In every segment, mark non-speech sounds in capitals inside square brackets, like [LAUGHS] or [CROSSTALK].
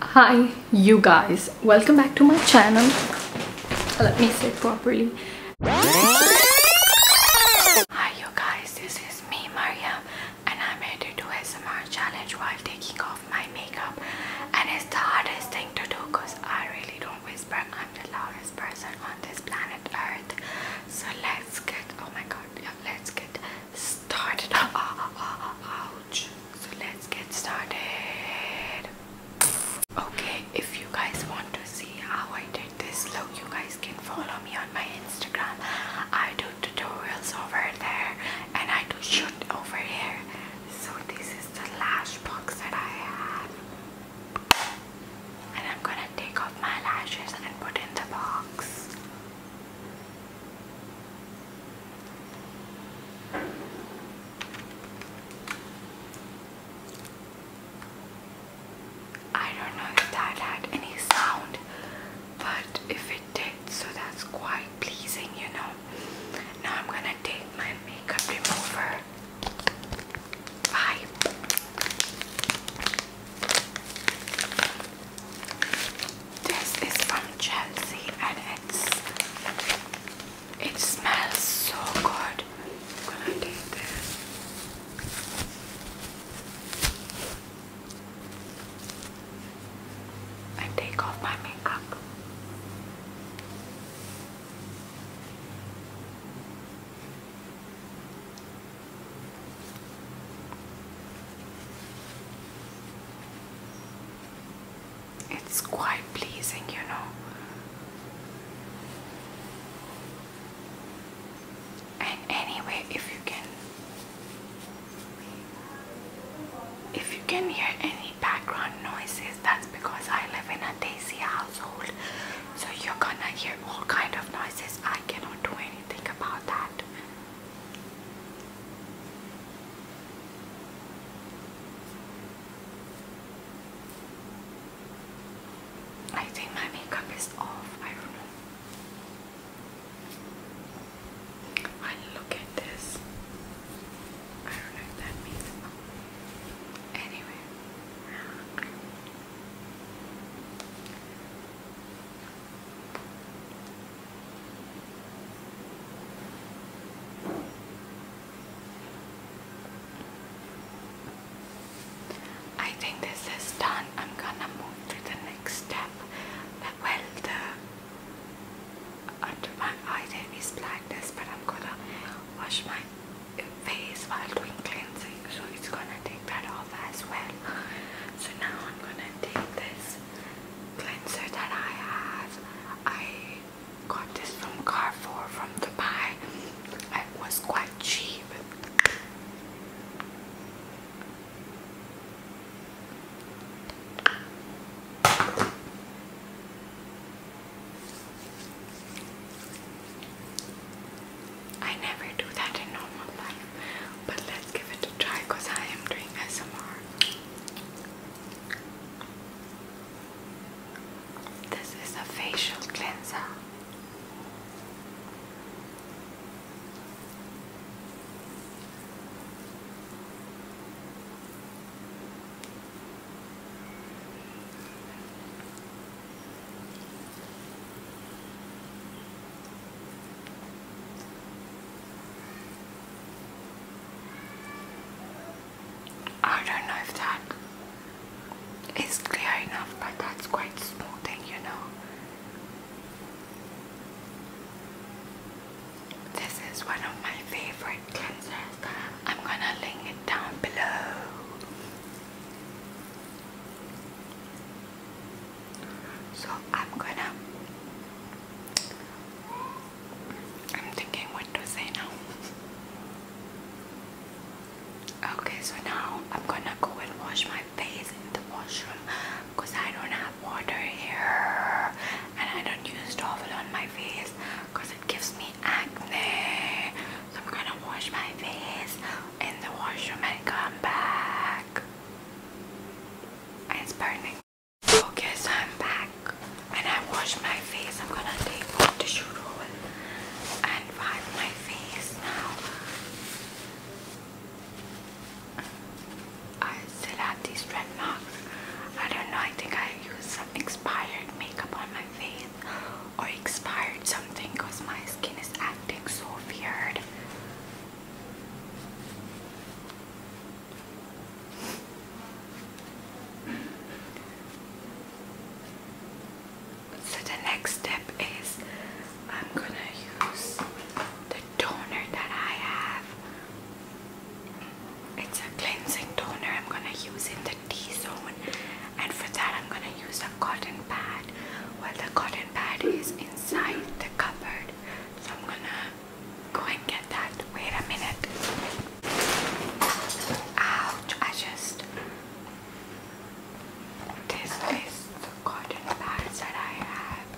hi you guys welcome back to my channel let me sit properly hi you guys this is me Mariam and I'm here to do ASMR challenge while taking off my makeup and it's the hardest thing to do because I really don't whisper I'm the loudest person on this planet earth so let's get oh my god let's get started. Ah, ah, ah, ouch. So let's get started. Okay, if you guys want to see how I did this look, you guys can follow me on my Instagram. I do tutorials over there and I do shoot over here. So this is the lash box that I have. And I'm gonna take off my lashes and put in the box. I don't know if that had any sound, but if it did, so that's quite pleasing, you know. Now I'm gonna take my makeup remover. Bye. This is from Chelsea and it's it smells so good. I'm this. And take off my makeup. It's quite pleasing, you know. And anyway, if you can if you can hear any background noises, that's because I live in a daisy household. So you're gonna hear all kind of noises. I cannot do anything about that. I think my makeup is off. I don't know. I look at this. I don't know if that means. Anyway. I think this is done. I'm gonna move to the next step. Uh, well, the under my eye there is blackness, but I'm gonna wash my face while doing cleansing, so it's gonna take that off as well. So now I'm gonna take this cleanser that I have. I got this from Carrefour from Dubai. It was quite cheap. I never do that in normal life, but let's give it a try because I am doing SMR. This is a facial cleanser. I don't know if that is clear enough, but that's quite small thing, you know. This is one of my favorite cleansers. I'm gonna link it down below. So I'm gonna I'm thinking what to say now. Okay, so now I'm gonna go and wash my face in the washroom because I don't have water here and I don't use towel on my face because it gives me acne. So I'm gonna wash my face in the washroom and come back. It's burning. Okay, so I'm back and I washed my face. I'm gonna take my tissue roll and wipe my face now. I still have these red marks. I don't know, I think I used some expired makeup on my face or expired something because my skin is acting so weird. So the next step is I'm going to use the toner that I have. It's a cleansing toner. I'm going to use in the T-zone and for that I'm going to use a cotton pad. Well the cotton pad is inside the cupboard. So I'm going to Go and get that. Wait a minute. Ouch, I just. This is the cotton pads that I have.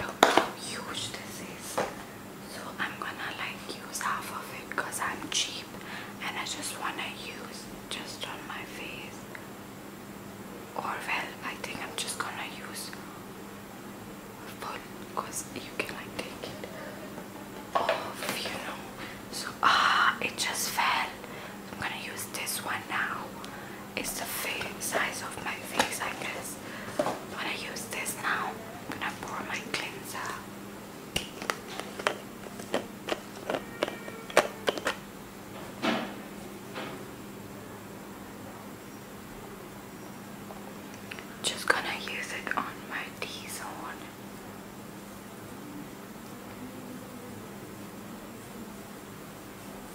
Look how huge this is. So I'm gonna like use half of it because I'm cheap and I just wanna use just on my face or well I think I'm just gonna use full because you can like take it off you know so ah it just fell I'm gonna use this one now it's the face size of my face I guess I'm gonna use this now I'm gonna pour my cleanser just gonna use it on my T zone.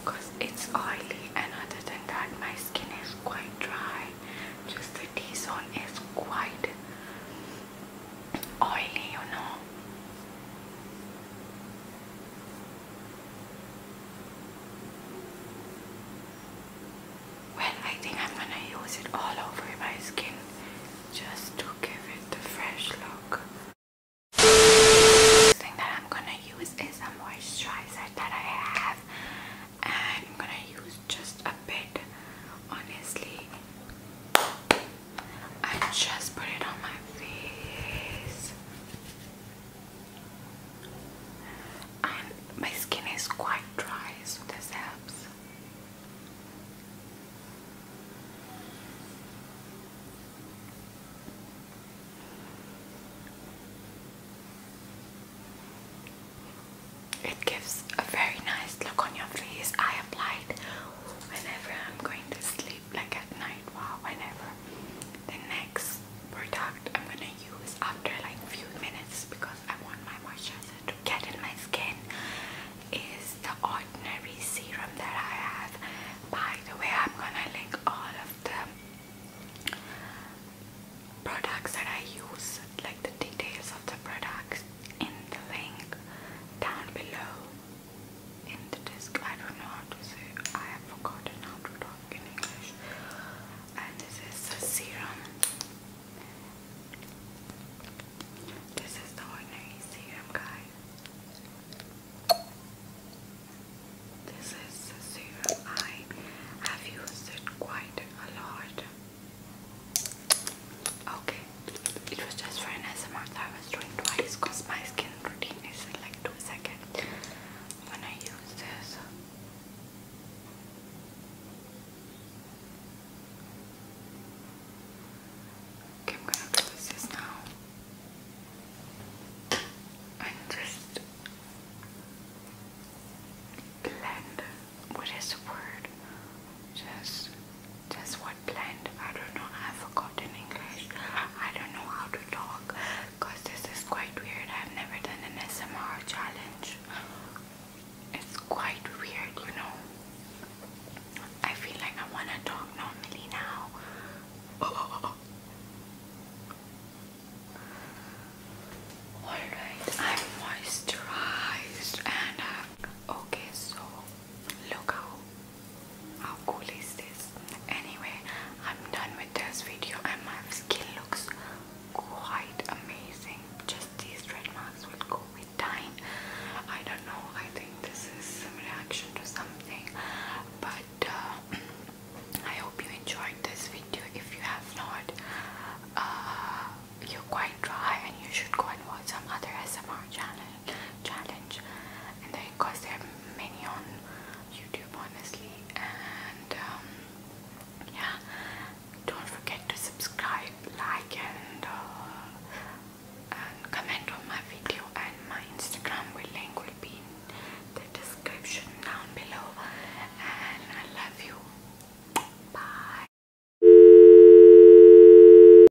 Because it's oily, and other than that, my skin is quite dry. Just the T zone is quite oily, you know. Well, I think I'm gonna use it all over my skin just to give it the fresh look. The thing that I'm gonna use is a moisturizer that I have, and I'm gonna use just a bit. Honestly, I just put it on my face. my skin is quite dry, so this helps. It gives a very nice look on your face. I applied whenever I'm going to sleep, like at night, wow, whenever. The next product I'm gonna use after like few minutes because I want my moisturizer to get in my skin is the ordinary serum that I have. By the way, I'm gonna link all of the products that I use, like the details of the products in the link down below in the disc. I don't know how to say I have forgotten how to talk in English. And this is the serum. This is the ordinary serum, guys. This is the serum. I have used it quite a lot. Okay, it was just for an SMR I was doing twice because my skin routine is like 2 seconds when I use this. Okay, I'm gonna close this now and just blend. What is the word? Just, just what Scotland. I don't know. I've forgotten English. I don't know how to talk because this is quite weird. I've never done an SMR challenge. It's quite weird, you know. I feel like I want to talk normally now. [LAUGHS] Alright, I'm moisturized and uh, okay, so look how how cool is this? Anyway, I'm done with this video and my skin looks quite amazing. Just these red marks will go with time. I don't know, I think this is some reaction to something. But uh, [CLEARS THROAT] I hope you enjoyed this video. If you have not, uh, you're quite dry and you should go and watch some other SMR channel. channel and there because there are many on YouTube honestly and um, yeah don't forget to subscribe like uh, and comment on my video and my Instagram will link will be in the description down below and I love you bye